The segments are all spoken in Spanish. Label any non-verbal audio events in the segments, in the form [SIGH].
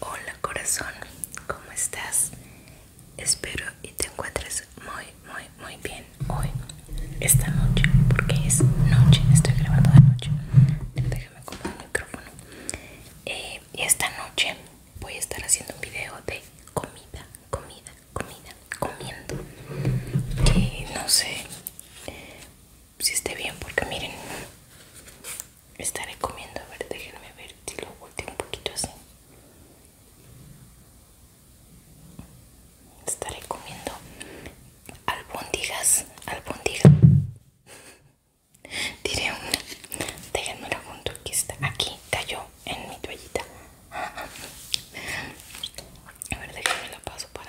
Hola corazón, ¿cómo estás? Espero y te encuentres muy, muy, muy bien hoy, esta noche, porque es noche, estoy grabando de noche. Déjame acomodar el micrófono. y eh, esta noche voy a estar haciendo un video de comida, comida, comida, comiendo. Que no sé, si esté bien porque miren estaré comiendo a ver déjenme ver si lo volteo un poquito así estaré comiendo albóndigas albóndigas [LAUGHS] diré una la junto aquí está aquí cayó en mi toallita [LAUGHS] a ver déjenme la paso para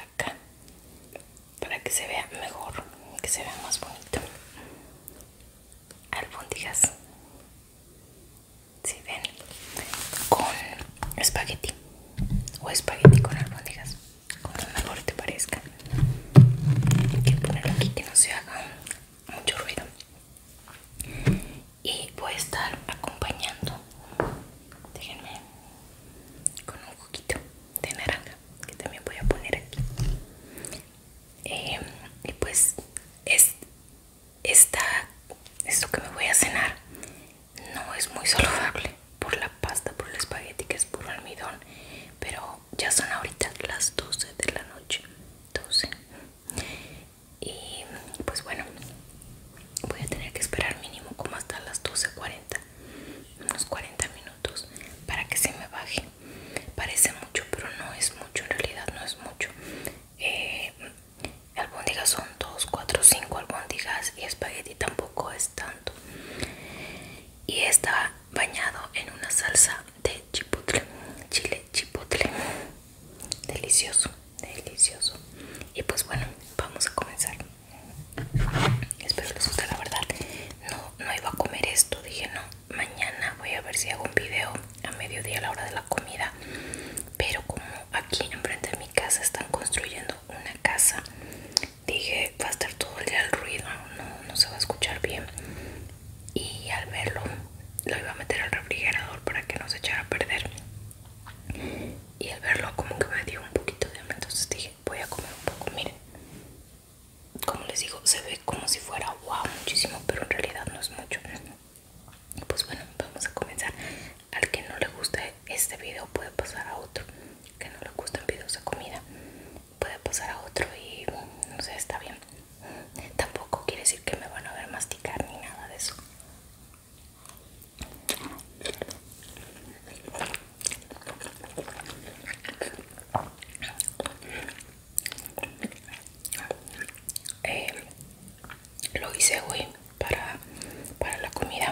para que se vea mejor que se vea más bonito albóndigas si ven con espagueti o espagueti con albóndigas como mejor te parezca hay que ponerlo aquí que no se haga mucho ruido y voy a estar acompañando déjenme con un poquito de naranja que también voy a poner aquí em, y pues es esta esto que me voy a cenar no es muy saludable por la pasta por el espagueti que es puro almidón pero ya son ahorita las 12 de la noche 12 y pues bueno voy a tener que esperar mínimo como hasta las 12.40 unos 40 minutos para que se me baje parece mucho pero no es mucho en realidad no es mucho eh, albóndigas son 2, 4, 5 albóndigas y espagueti tampoco es tanto y está bañado en una salsa de chipotle chile chipotle delicioso delicioso y pues bueno vamos a comenzar Espero les guste la verdad. No, no iba a comer esto. Dije no, mañana voy a ver si hago un video a mediodía a la hora de la comida. Pero como aquí enfrente de mi casa están construyendo una casa, dije va a estar todo el día el ruido, no, no se va a escuchar bien. Y al verlo lo iba a meter al refrigerador para que no se echara a perder. Y al verlo como que me dio un poquito de hambre, entonces dije voy a comer un poco miren como les digo se ve como si fuera wow muchísimo pero en realidad no es mucho pues bueno vamos a comenzar al que no le guste este video puede pasar a otro que no le gustan videos de comida puede pasar a otro y no sé está bien tampoco quiere decir que me van a ver masticar ni nada de eso eh, lo hice hoy para, para la comida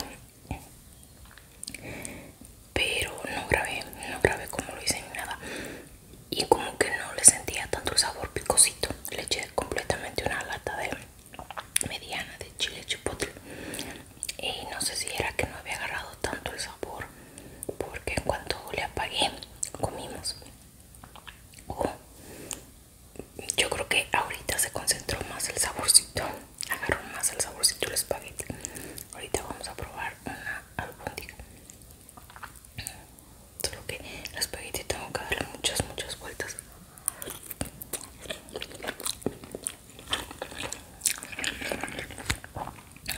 pero no grabé no grabé como lo hice ni nada y como que no le sentía tanto sabor picosito le eché completamente una lata de mediana de chile chipotle y no sé si era que no había agarrado tanto el sabor porque en cuanto le apagué comimos oh, yo creo que ahorita se concentró más el saborcito agarró más el saborcito el espagueti ahorita vamos a probar una albóndiga solo que el espagueti tengo que darle muchas muchas vueltas a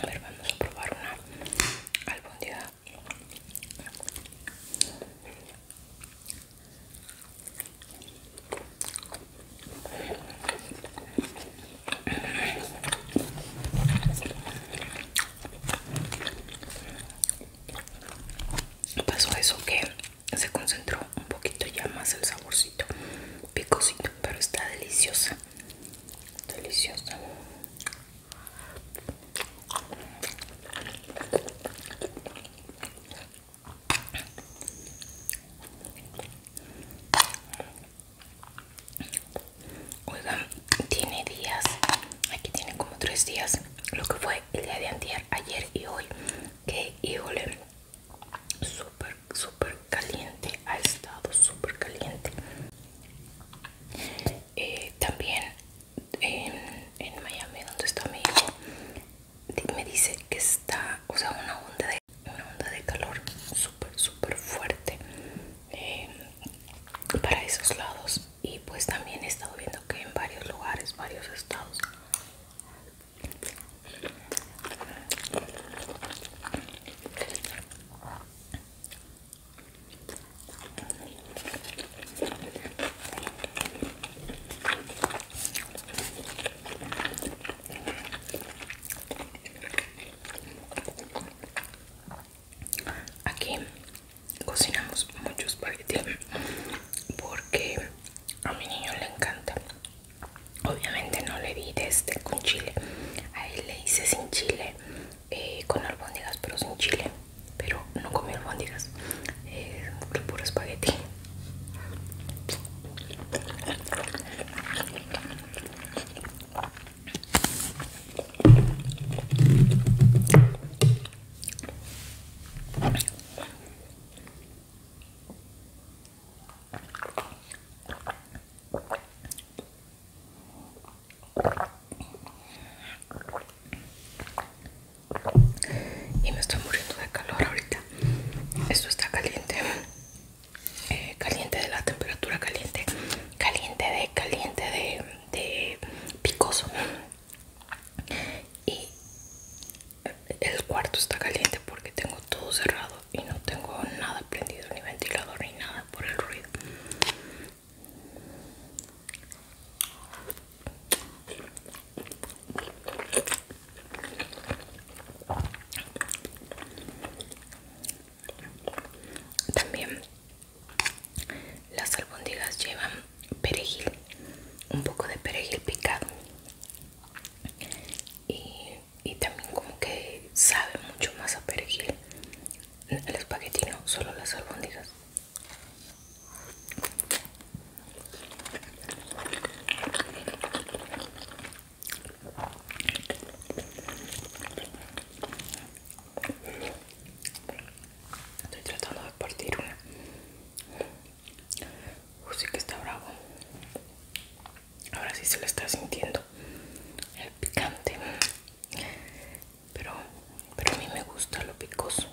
ver, vamos a probar una No Pasó eso que se concentró un poquito ya más el saborcito picosito pero está deliciosa deliciosa Oigan, tiene días, aquí tiene como tres días, lo que fue el día de antier, ayer y hoy, que híjole, súper súper caliente ha estado súper caliente eh, también en, Miami donde está mi hijo me dice que está o sea una onda de una onda de calor súper súper fuerte eh, para esos lados y pues también he estado viendo que en varios lugares varios estados Aquí cocinamos muchos paquetes porque a mi niño le encanta obviamente no le di este con chile a le hice sin chile eh, con albóndigas pero sin chile pero no comí albóndigas eh, puro espagueti y me estoy muriendo de calor ahorita. Esto está caliente. Eh, caliente de la temperatura caliente. Caliente de caliente de, de picoso y el cuarto está caliente porque tengo todo cerrado y no tengo nada prendido ni ventilador ni nada por el ruido también las albóndigas llevan perejil un poco de perejil picado y, también como que sabe mucho más a perejil el espagueti solo las albóndigas Estoy tratando de partir una Uy, sí que está bravo. Ahora sí se lo está sintiendo el picante. Pero, pero a mí me gusta lo picoso.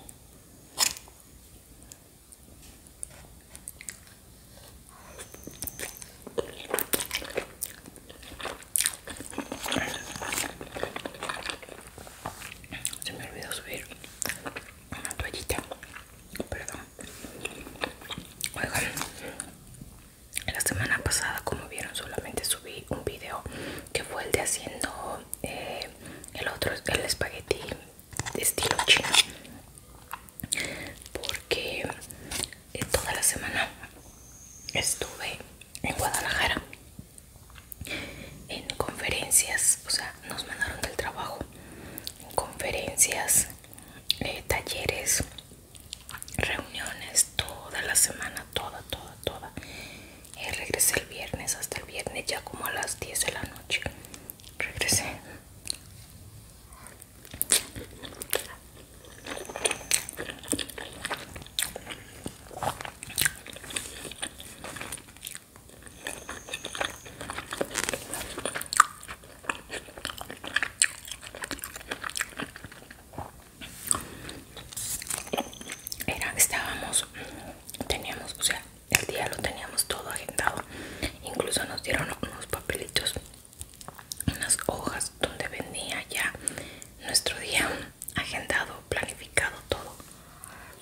Se me olvidó subir una toallita perdón oigan la semana pasada como vieron solamente subí un video que fue el de haciendo eh, el otro el espagueti de estilo chino porque eh, toda la semana estuve en Guadalajara en conferencias o sea nos mandaron del trabajo conferencias eh, talleres reuniones toda la semana toda toda toda Y eh, regresé el viernes hasta el viernes ya como a las 10 de la noche regresé era, estábamos, teníamos, o sea, el día lo teníamos todo agendado. Incluso nos dieron unos papelitos, unas hojas donde venía ya nuestro día agendado, planificado todo. Éramos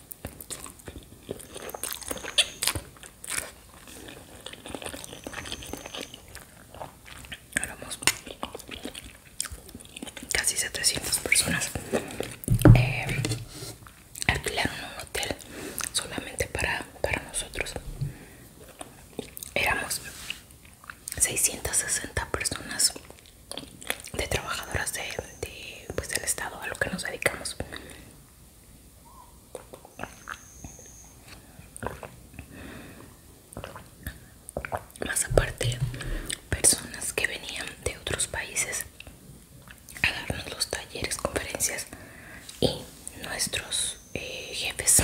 casi 700 personas eh, alquilaron un hotel solamente para, nosotros éramos 660 personas de trabajadoras de, pues, del estado a lo que nos dedicamos más aparte, personas que venían de otros países a darnos los talleres, conferencias y nuestros eh, jefes,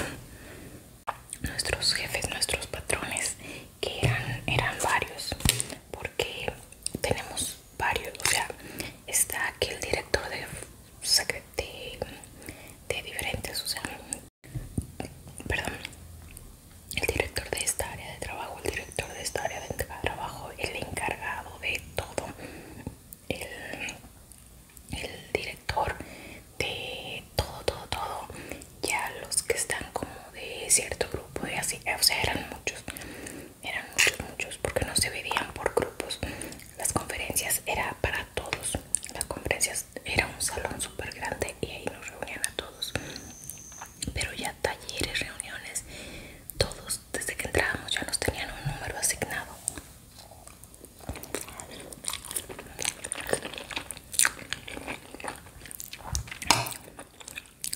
nuestros jefes, nuestros patrones que eran, eran varios porque tenemos varios, o sea, está aquí el director de, diferentes, o sea, perdón, el director de esta área de trabajo, el director de esta área de trabajo, el encargado de todo, el, director de todo, todo, todo, ya los que están como de cierto grupo y así, o sea, eran muchos eran muchos muchos porque no se dividían por grupos las conferencias era para todos las conferencias era un salón súper grande y ahí nos reunían a todos pero ya talleres reuniones todos desde que entrábamos ya nos tenían un número asignado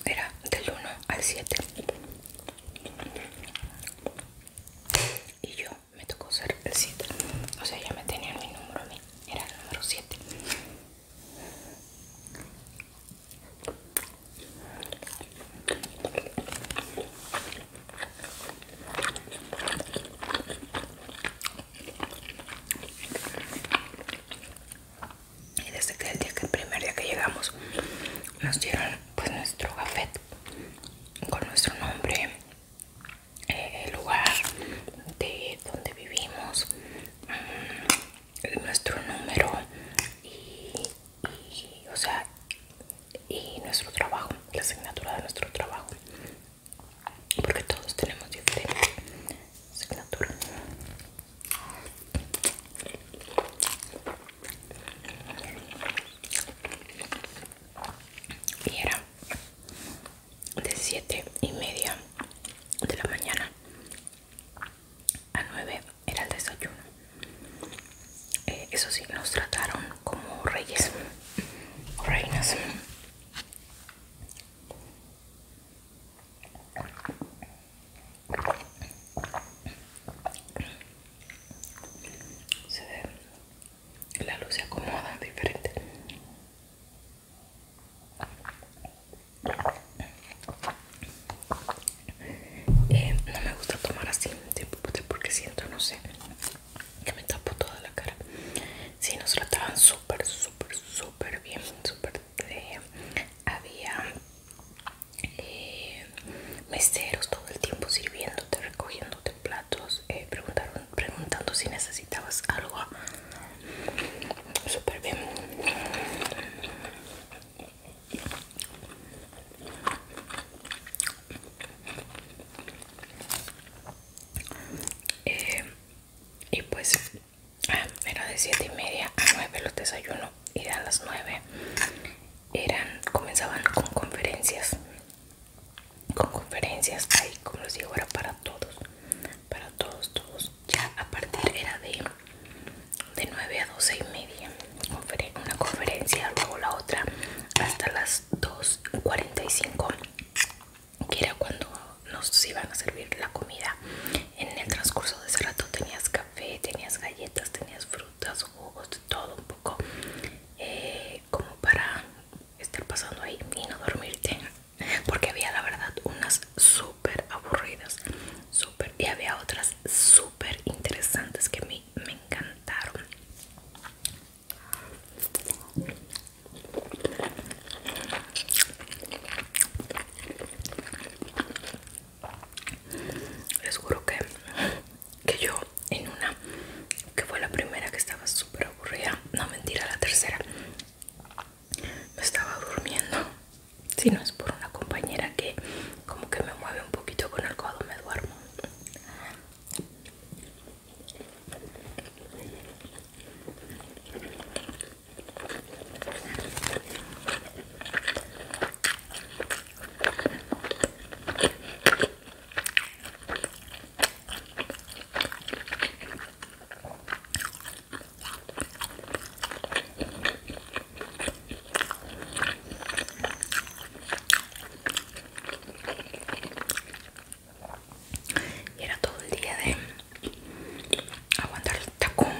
era del 1 al 7 y yo me tocó ser el 7 o sea ya me tenían mi número a mí era el número 7 y desde que el, primer día que llegamos nos dieron pues nuestro gafet con nuestro nombre eh, el lugar de donde vivimos mm, nuestro número y, o sea y nuestro trabajo la asignatura de nuestro trabajo porque todos tenemos diferentes asignaturas y era de siete y media de la mañana a 9 era el desayuno eh, eso sí nos trataron como reyes reinas se ve, la luz se acomoda diferente. Eh, no me gusta tomar así pues, porque siento, no sé, que me tapo toda la cara. Si nos trataban súper, súper, súper bien, súper eh, había eh, meseros todo el tiempo sirviéndote, recogiéndote platos, eh, preguntando si necesitabas algo. Súper bien. Eh, y pues era de 7 y media a 9 los desayunos y a las 9 eran, comenzaban con conferencias con conferencias ahí como les digo era para todos para todos todos ya a partir era de de 9 a 12 y media una conferencia luego la otra hasta las 2.45 que era cuando nos iban a servir la comida en el transcurso de ese rato tenías café, tenías galletas, tenías frutas, jugos, todo un poco eh, como para estar pasando ahí y no dormirte porque había la verdad unas súper aburridas super y había otras súper interesantes que a mí me encantaron les juro que, que yo en una que fue la primera que estaba súper aburrida no mentira la tercera me estaba durmiendo si no es por una compañera que como que me mueve un poquito con el codo me duermo y era todo el día de aguantar tacón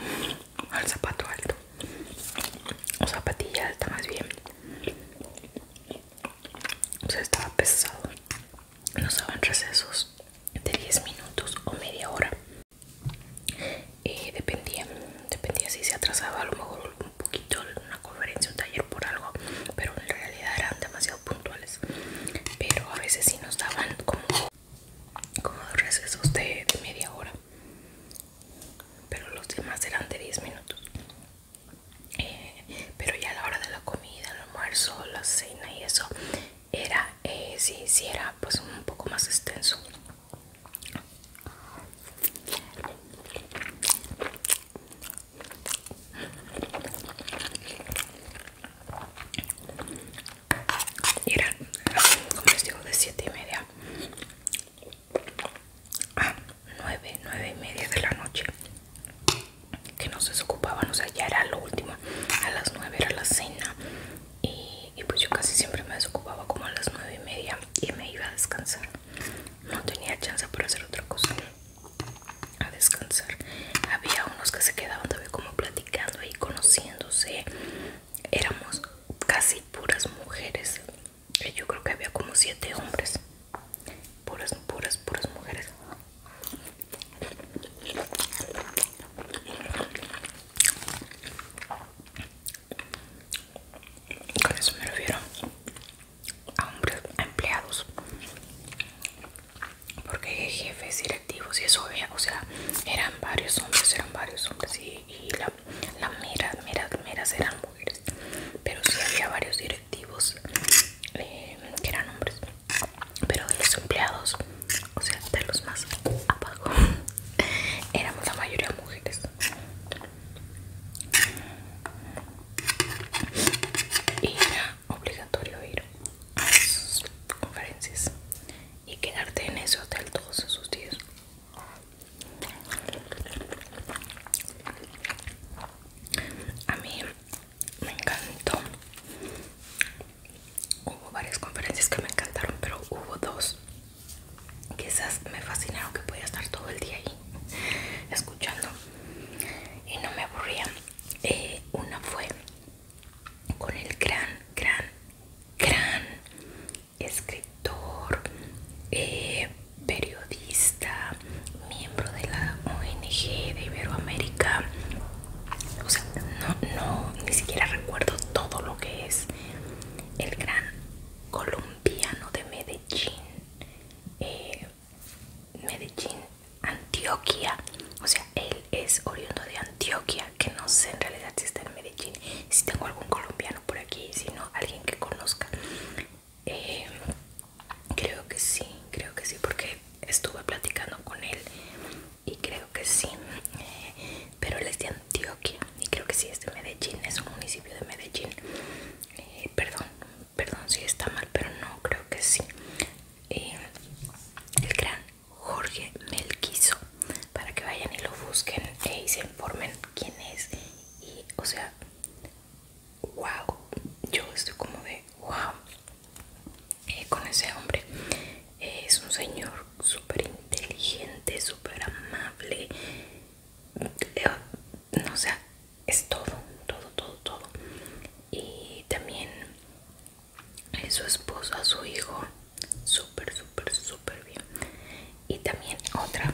al zapato alto o zapatilla alta más bien o estaba pesado nos daban recesos de 10 minutos o media hora eh, dependía dependía si se atrasaba a lo mejor un poquito una conferencia un taller por algo pero en realidad eran demasiado puntuales pero a veces sí nos daban como como dos recesos de, media hora pero los demás eran de 10 minutos eh, pero ya a la hora de la comida el almuerzo la cena y eso era eh, si hiciera era pues un poco más extenso y eran, como les digo, de 7 y media a 9, 9 y media de la noche que nos desocupaban, o sea, ya era lo último. A las 9 era la cena y, pues yo casi siempre me desocupaba como a las 9 y media y me iba a descansar. No tenía chance para hacer otra cosa, a descansar. Había unos que se quedaban todavía como platicando y conociéndose. Éramos casi puras mujeres. Yo creo que había como siete hombres. Puras, puras, puras mujeres. Con eso me refiero a hombres a empleados porque jefes directivos y eso eh, o sea eran varios hombres eran varios hombres y, las la, meras eran mujeres pero sí había varios directivos eh, que eran hombres pero de los empleados o sea de los más abajo [LAUGHS] éramos la mayoría mujeres y era obligatorio ir a sus conferencias y quedarte en ese hotel todos esos días. A mí me encantó. Hubo varias conferencias que me encantaron, pero hubo dos quizás me fascinaron que podía estar todo el día ahí escuchando y no me aburría. Eh, una fue con el gran, gran, gran escritor, eh, periodista, miembro de la ONG de Iberoamérica. O sea, no, no, ni siquiera recuerdo todo lo que es el gran colombiano de Medellín. Eh, Medellín Antioquia, o sea, él es oriundo de Antioquia, que no sé en realidad si está en Medellín, si tengo algún colombiano por aquí, si no, alguien que conozca. Eh, creo que sí, creo que sí, porque estuve platicando con él y creo que sí, pero él es de Antioquia y creo que sí es de Medellín, es un municipio de Medellín. Eh, perdón, perdón si está mal, pero no, creo que sí. Eh, el gran Jorge Melquiso para que vayan y lo busquen e y se informen quién es y o sea wow yo estoy como de wow eh, con ese hombre es un señor súper inteligente súper amable eh, no o sea es todo todo todo todo y también a eh, su esposa, a su hijo. Súper, súper, súper bien. Y también otra.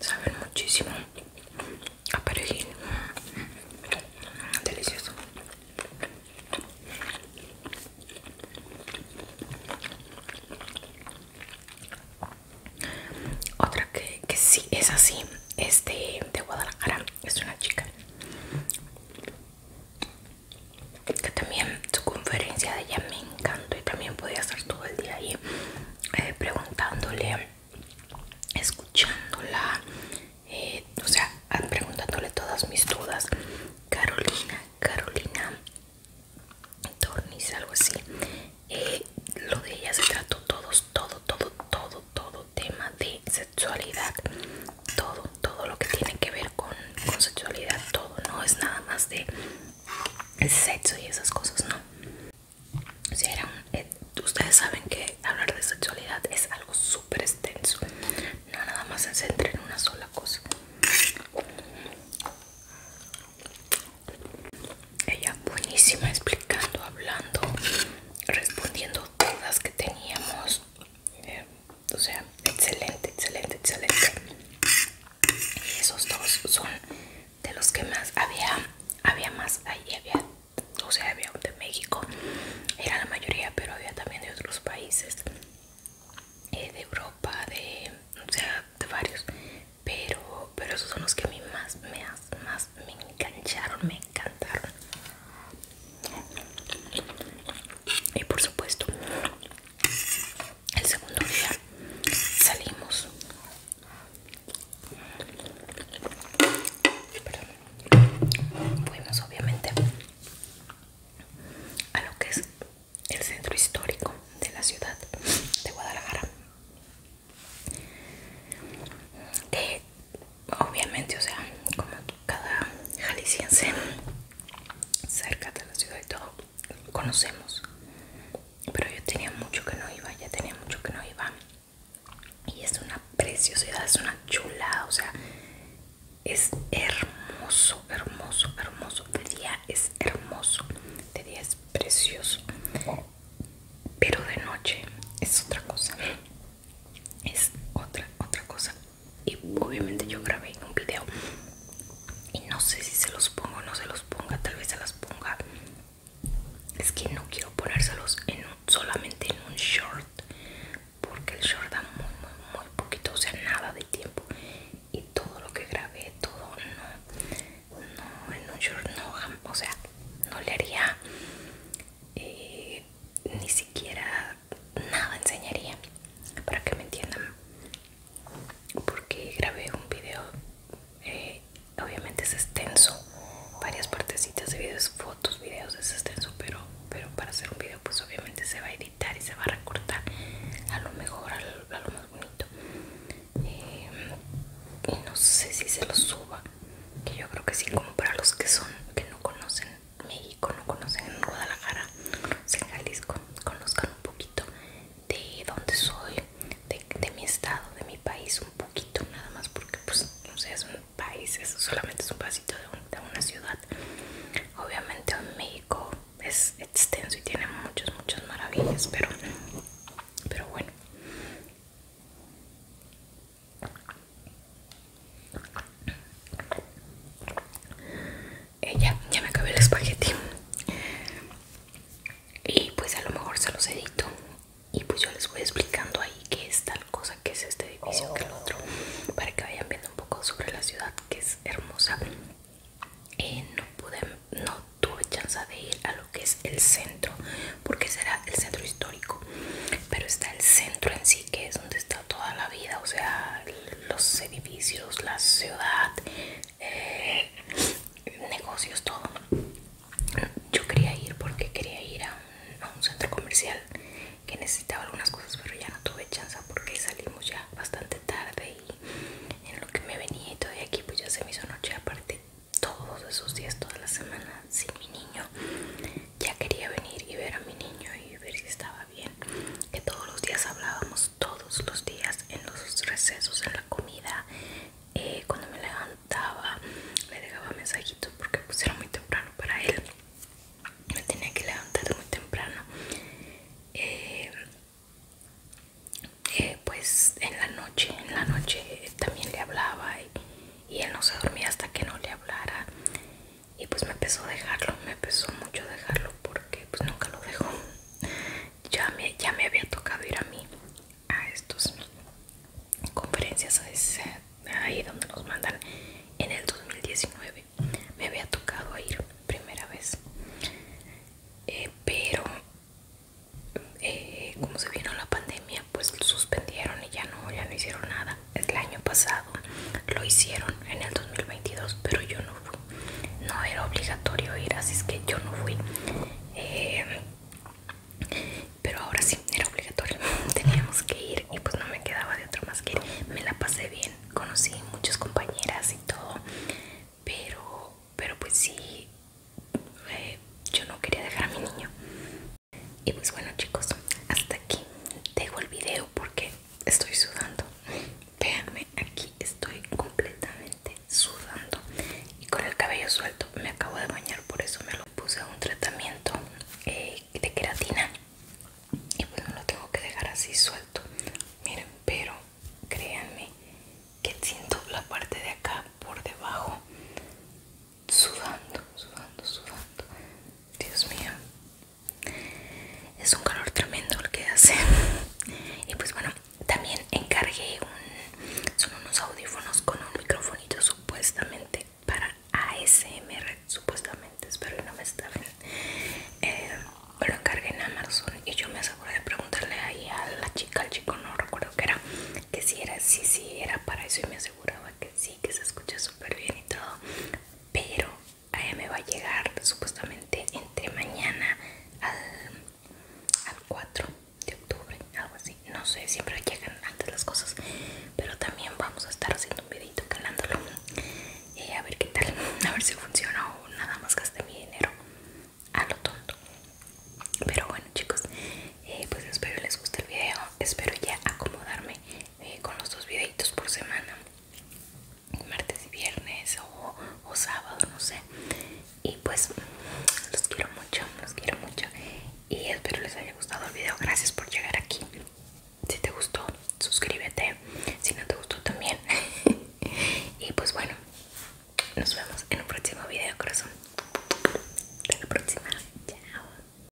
Saben muchísimo a Delicioso. Otra que, que sí es así es de Guadalajara. Es una chica que también su conferencia de ella me encantó y también podía estar todo el día ahí eh, preguntándole, escuchándola, eh, o sea, preguntándole todas mis dudas. Carolina, Carolina Tornis, algo así. Eh, lo de ella se trató todos, todo, todo, todo, todo tema de sexualidad, todo todo lo que tiene que ver con, sexualidad, todo, no es nada más de sexo y esas cosas, no. Eh, ustedes saben que hablar de sexualidad es algo súper extenso, no nada más se centra en una sola cosa. Ella buenísima explicando, hablando, respondiendo dudas que teníamos. Eh, o sea, excelente, excelente, excelente. Y esos dos son de los que más había, había más ahí, había, o sea, había de México, era la mayoría, pero había también de otros países, eh, de Europa, de, o sea, de varios. Pero, pero esos son los que a mí más, más, más me engancharon, me encantaron y por supuesto el segundo día salimos Perdón. fuimos obviamente a lo que es el centro histórico de la ciudad de Guadalajara que obviamente o sea como cada jalisciense cerca de la ciudad y todo conocemos pero yo tenía mucho que no iba ya tenía mucho que no iba y es una preciosidad es una chulada o sea es hermoso hermoso hermoso de día es hermoso de día es precioso pero de noche es otra cosa es otra otra cosa y obviamente yo grabé un video y no sé si se los pongo o no se los ponga tal vez se las ponga es que no quiero ponérselos en solamente en un short porque el short da muy muy muy poquito o sea nada de tiempo y todo lo que grabé todo no no en un short no o sea no le haría eh, ni siquiera nada enseñaría para que me entiendan porque grabé un video eh, obviamente es extenso varias partecitas de videos fotos videos es extenso pero para hacer un video pues obviamente se va a editar y se va a recortar a lo mejor a lo, más bonito eh, y no sé si se lo suba que yo creo que sí como para los que son que no conocen México, no conocen Guadalajara, conocen Jalisco, conozcan un poquito de dónde soy, de, mi estado, de mi país, un poquito nada más porque pues no sé, es un país, es, solamente es un pasito de, una ciudad. Obviamente México es extenso y tiene muchas, muchas maravillas, pero, pero bueno. Eh, ya, me acabé el espagueti y pues a lo mejor se los edito y pues yo les voy explicando ahí qué es tal cosa, que es este edificio, que el otro para que vayan viendo un poco sobre la ciudad que es hermosa eh, no pude, no tuve chance de ir a lo que es el centro porque será el centro histórico pero está el centro en sí que es donde está toda la vida, o sea, los edificios, la ciudad, eh, negocios, todo. Yo quería ir porque quería ir a un, centro comercial que necesitaba algunas cosas, pero ya no tuve chance porque salimos ya bastante tarde y en lo que me venía y todavía aquí pues ya se me hizo noche aparte todos esos días, toda la semana sin mi niño ya quería venir y ver a mi niño y ver si estaba bien, que todos los días hablábamos, todos los días, en los recesos, en la comida, eh, cuando me levantaba, le dejaba mensajitos porque pues era muy temprano para él, me tenía que levantar muy temprano. Eh, eh, pues en la noche, en la noche también le hablaba y él no se dormía hasta que no le hablara y pues me pesó dejarlo, me pesó mucho dejarlo porque pues nunca lo dejó. Ya me, ya me había tocado ir a mí a estas conferencias, ahí donde nos mandan en el 2019. Me había tocado ir primera vez, eh, pero eh, como se vino la pandemia, pues suspendieron y ya no, ya no hicieron nada el año pasado lo hicieron en el 2022 pero yo no fui no era obligatorio ir así es que yo no fui eh, pero ahora sí era obligatorio [LAUGHS] teníamos que ir y pues no me quedaba de otra más que ir me la pasé bien conocí muchas compañeras y todo pero pero pues sí eh, yo no quería dejar a mi niño y pues bueno chicos, hasta aquí dejo el video porque estoy sudando. Véanme, aquí estoy completamente sudando y con el cabello suelto. Me acabo de bañar, por eso me lo puse a un tratamiento eh, de queratina. Y pues no lo tengo que dejar así suelto. Miren, pero créanme que siento la parte de acá por debajo sudando, sudando, sudando. Dios mío, es un calor tremendo el que hace [LAUGHS] y pues bueno también encargué un son unos audífonos con un microfonito supuestamente para ASMR supuestamente espero que no me estafen eh, lo encargué en Amazon y yo me aseguré de preguntarle ahí a la chica al chico no recuerdo que era que si era sí si era para eso y me aseguraba que sí que se escucha súper bien y todo pero a me va a llegar supuestamente entre mañana al, 4 de octubre, algo así. No sé, siempre llegan antes las cosas, pero también vamos a estar haciendo un videito calándolo y eh, a ver qué tal, [LAUGHS] a ver si funciona o nada más gaste mi dinero a lo tonto. Pero bueno, chicos, eh, pues espero les guste el video, espero ya acomodarme eh, con los dos videitos por semana martes y viernes o, o sábado no sé y pues los quiero mucho los quiero mucho y espero les haya gustado el video gracias por llegar aquí si te gustó suscríbete si no te gustó también [LAUGHS] y pues bueno nos vemos en un próximo video corazón hasta la próxima chao